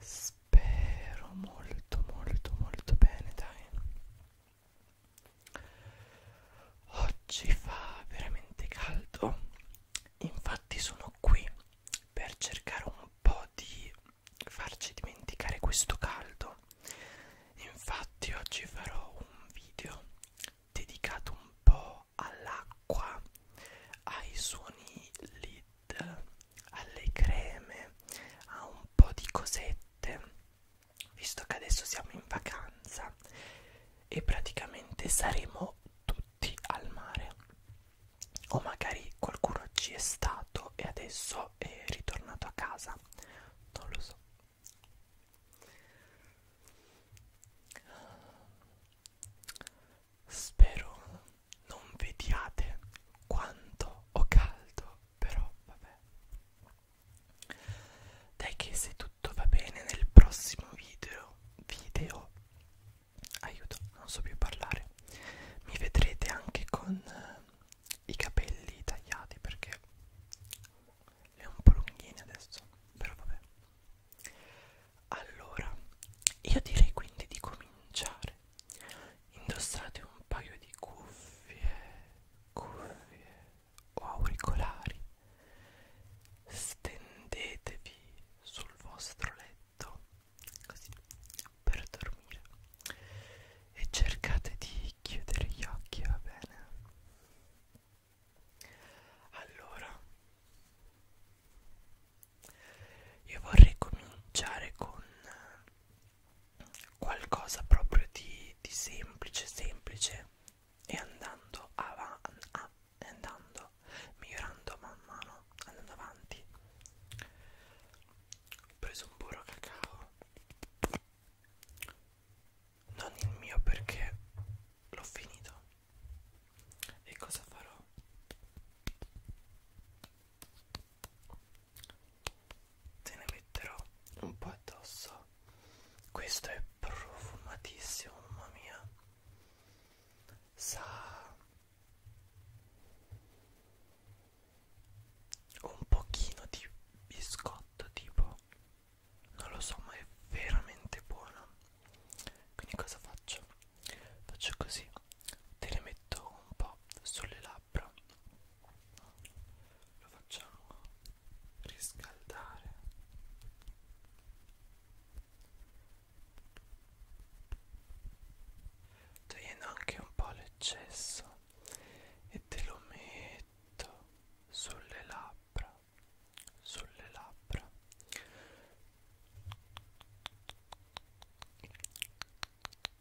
spero molto molto molto bene dai oggi fa veramente caldo infatti sono qui per cercare un po' di farci dimenticare questo caldo infatti oggi farò un video dedicato un po' all'acqua ai suoni lì alle creme, a un po' di cosette, visto che adesso siamo in vacanza e praticamente saremo tutti al mare. O magari qualcuno ci è stato e adesso è ritornato a casa, non lo so. Spero non vediate quanto ho caldo però vabbè dai che se tutto va bene nel prossimo video video aiuto non so più parlare mi vedrete anche con eh, i capelli tagliati perché le ho un po' lunghine adesso però vabbè allora io direi quindi di cominciare indossate un paio di cuffie, cuffie o auricolari, stendetevi sul vostro letto così per dormire e cercate di chiudere gli occhi, va bene? Allora io vorrei cominciare con qualcosa proprio di, di semplice, semplice e andando avanti, ah, andando, migliorando man mano, andando avanti. Ho preso un burro cacao, non il mio perché l'ho finito. E cosa farò? te ne metterò un po' addosso questo è profumatissimo mamma mia sa un pochino di biscotto tipo non lo so ma è veramente buono quindi cosa faccio faccio così te ne metto un po' sulle labbra lo facciamo riscaldare togliendo anche un po' l'eccesso e te lo metto sulle labbra sulle labbra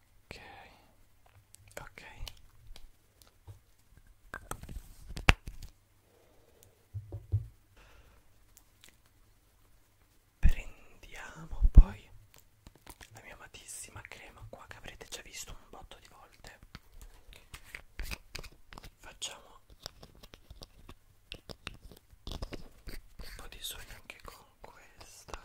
ok ok prendiamo poi la mia amatissima crema qua che avrete già visto un botto di volte facciamo un po' di sogno anche con questa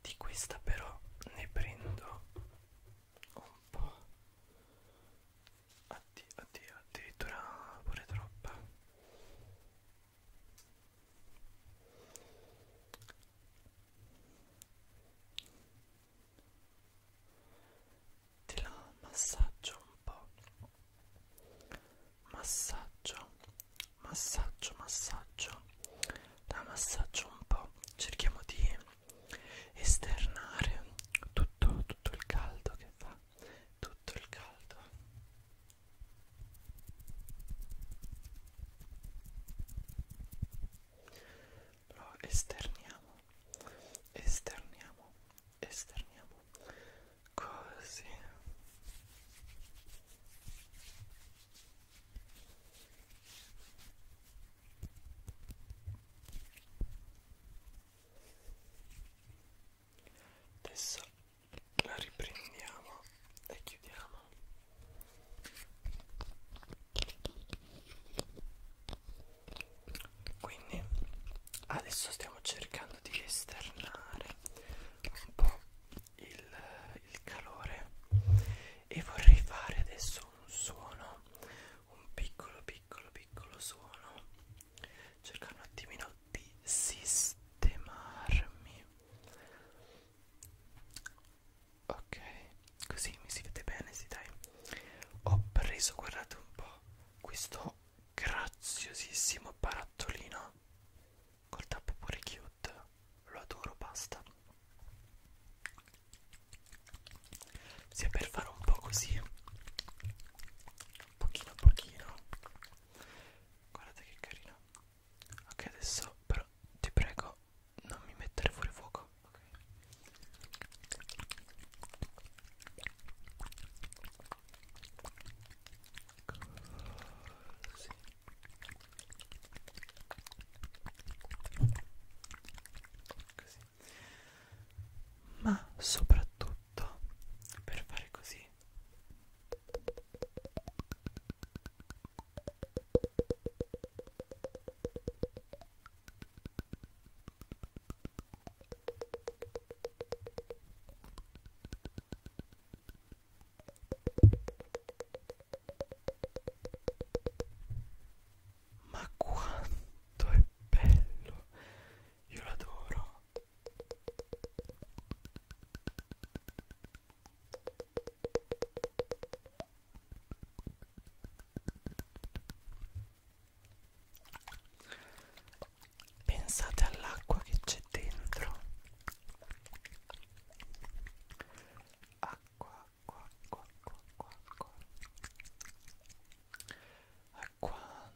di questa però ne prendo un po' Addio, addio, addirittura pure troppa. Te la massaggio un po'. Massaggio, massaggio, massaggio. La massaggio un po'. Cerchiamo di esternare tutto, tutto il caldo che fa tutto il caldo lo esterniamo esterniamo esterniamo così Adesso la riprendiamo e chiudiamo. Quindi adesso stiamo cercando di esternare un po' il, il calore e vorrei fare adesso un suono, un piccolo piccolo piccolo suono cercare un attimino di sistemarmi ok così mi si vede bene si dai ho preso guardate un po' questo graziosissimo barattolino col tappo pure cute lo adoro basta sia per fare un po' così pochino a pochino guardate che carino ok adesso però ti prego non mi mettere fuori fuoco ok Così. Così. ma soprattutto tutto per fare così ma quanto è bello io l'adoro. Pensate all'acqua che c'è dentro. Acqua, acqua, acqua, acqua, acqua, acqua. Acqua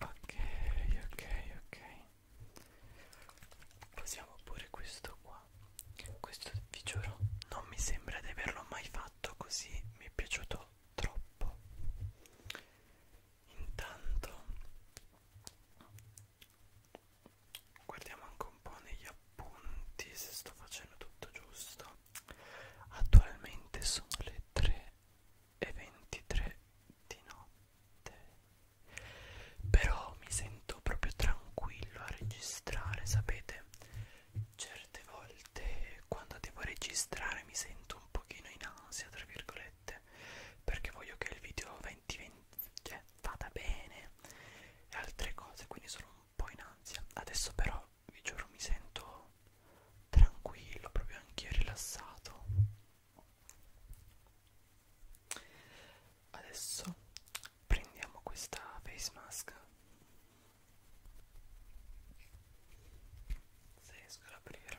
Ok, ok, ok. Passiamo pure questo qua. Questo vi giuro, non mi sembra di averlo mai fatto così, mi è piaciuto troppo. Intanto guardiamo anche un po' negli appunti se sto facendo tutto giusto. Attualmente sono le 3 e 23 di notte. Però mi sento proprio tranquillo a registrare, sapete? Certe volte quando devo registrare mi sento un pochino in ansia, tra virgolette, perché voglio che il video 2020 cioè, vada bene e altre cose, quindi sono un po' in ansia. Adesso però, vi giuro, mi sento tranquillo, proprio anch'io rilassato. Adesso prendiamo questa face mask. Se riesco ad aprire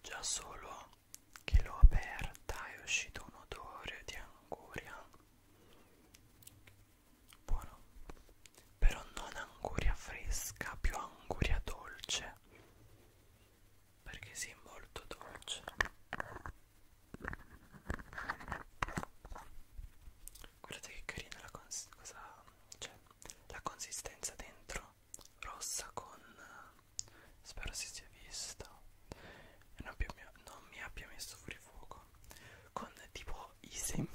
Già solo che l'ho aperta è uscito un odore di anguria. Buono però non anguria fresca, più anguria dolce, perché si sì, è molto dolce. Guardate che carina la, cons cosa, cioè, la consistenza dentro, rossa con... spero si sia visto, non, più, non mi abbia messo fuori fuoco, con tipo i semini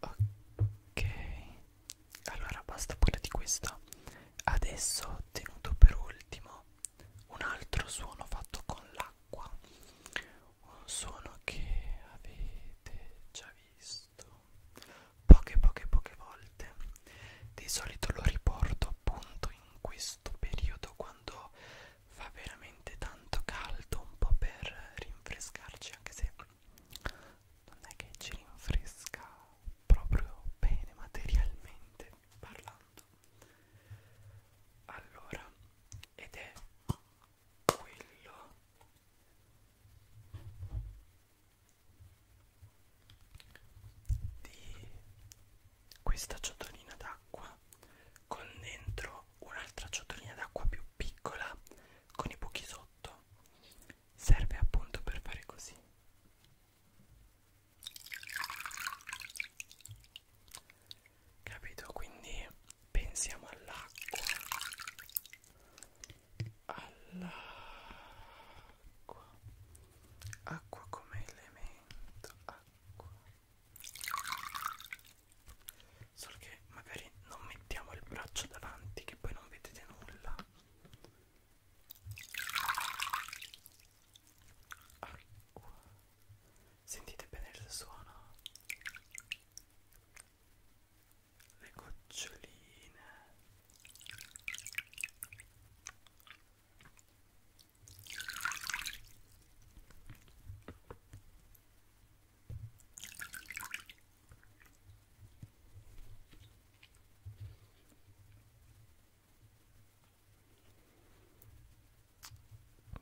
ok allora basta pure di questa adesso ho tenuto per ultimo un altro suono fatto con l'acqua un suono che avete già visto poche poche poche volte di solito lo riporto appunto in questo periodo quando fa veramente tanto caldo un po' per rinfrescarci anche se non è che ci rinfresca proprio bene materialmente parlando allora ed è quello di questa ciotolina d'acqua con dentro un'altra ciotolina d'acqua più piccola con i buchi sotto serve appunto per fare così capito quindi pensiamo all'acqua all'acqua acqua come elemento acqua solo che perché magari non mettiamo il braccio davanti che poi non vedete nulla Acqua. sentite bene il suono le goccioline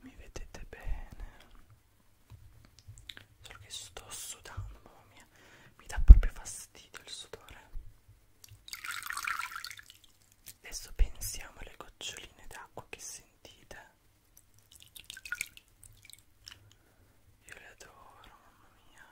mi vedete bene? Solo che sto sudando, mamma mia, mi dà proprio fastidio il sudore. Adesso pensiamo alle goccioline d'acqua che sentite. Io le adoro, mamma mia.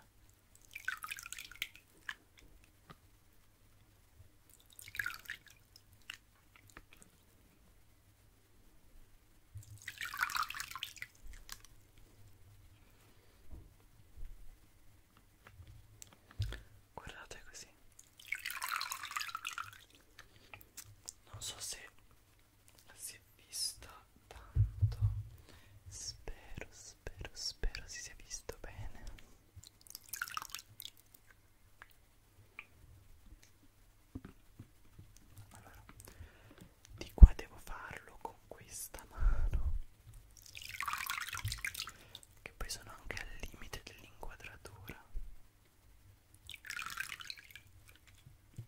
Guardate così. Non so se si è visto tanto spero spero spero si sia visto bene allora di qua devo farlo con questa mano che poi sono anche al limite dell'inquadratura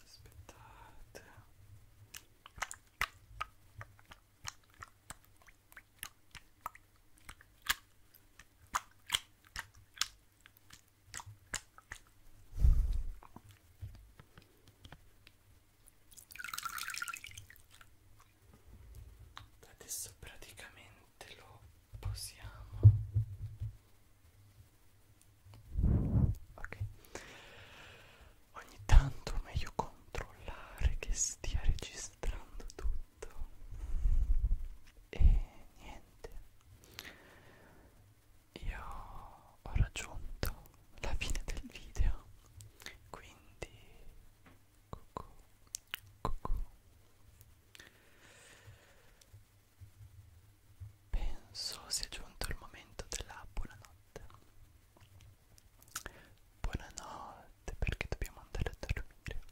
aspettate adesso praticamente sicuramente lo possiamo ok ogni tanto è meglio controllare che stia registrando tutto e niente io ho raggiunto la fine del video quindi cucù, cucù. Penso sia giunto il momento della buonanotte. Buonanotte perché dobbiamo andare a dormire.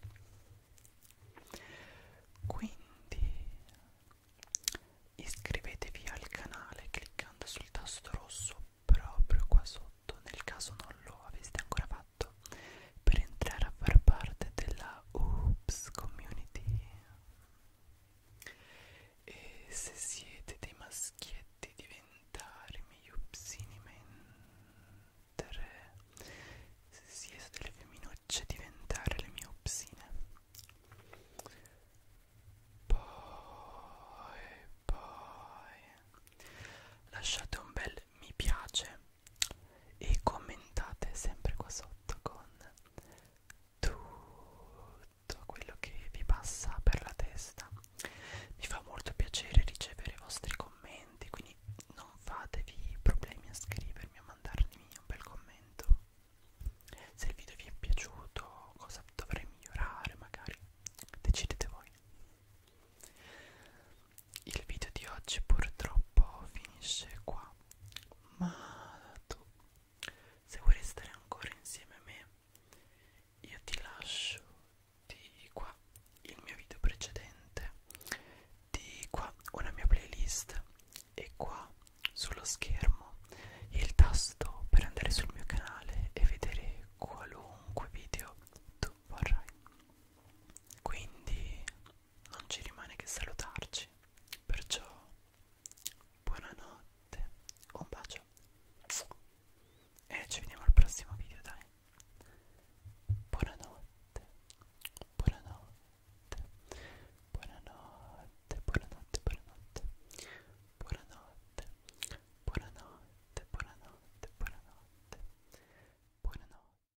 Quindi iscrivetevi al canale cliccando sul tasto rosso proprio qua sotto nel caso non lo aveste ancora fatto fatto per entrare a far parte della Oops Community e se siete dei maschietti diventare miei upsini mentre se siete delle femminucce diventare le mie upsine poi poi lasciate un bel mi piace e commentate sempre qua sotto con tutto quello che vi passa per la testa mi fa molto piacere ricevere i vostri commenti quindi non fatevi problemi a scrivermi a mandarmi un bel commento se il video vi è piaciuto cosa dovrei migliorare magari decidete voi il video di oggi purtroppo finisce qua ma tu se vuoi restare ancora insieme a me io ti lascio di qua il mio video precedente di qua una mia playlist e qua sullo schermo il tasto per andare sul mio canale e vedere qualunque video tu vorrai quindi non ci rimane che salutarci. Perciò, buonanotte, un bacio e ci vediamo al prossimo video, dai. Buonanotte, buonanotte, buonanotte, buonanotte, buonanotte, buonanotte, buonanotte, buonanotte, buonanotte, buonanotte.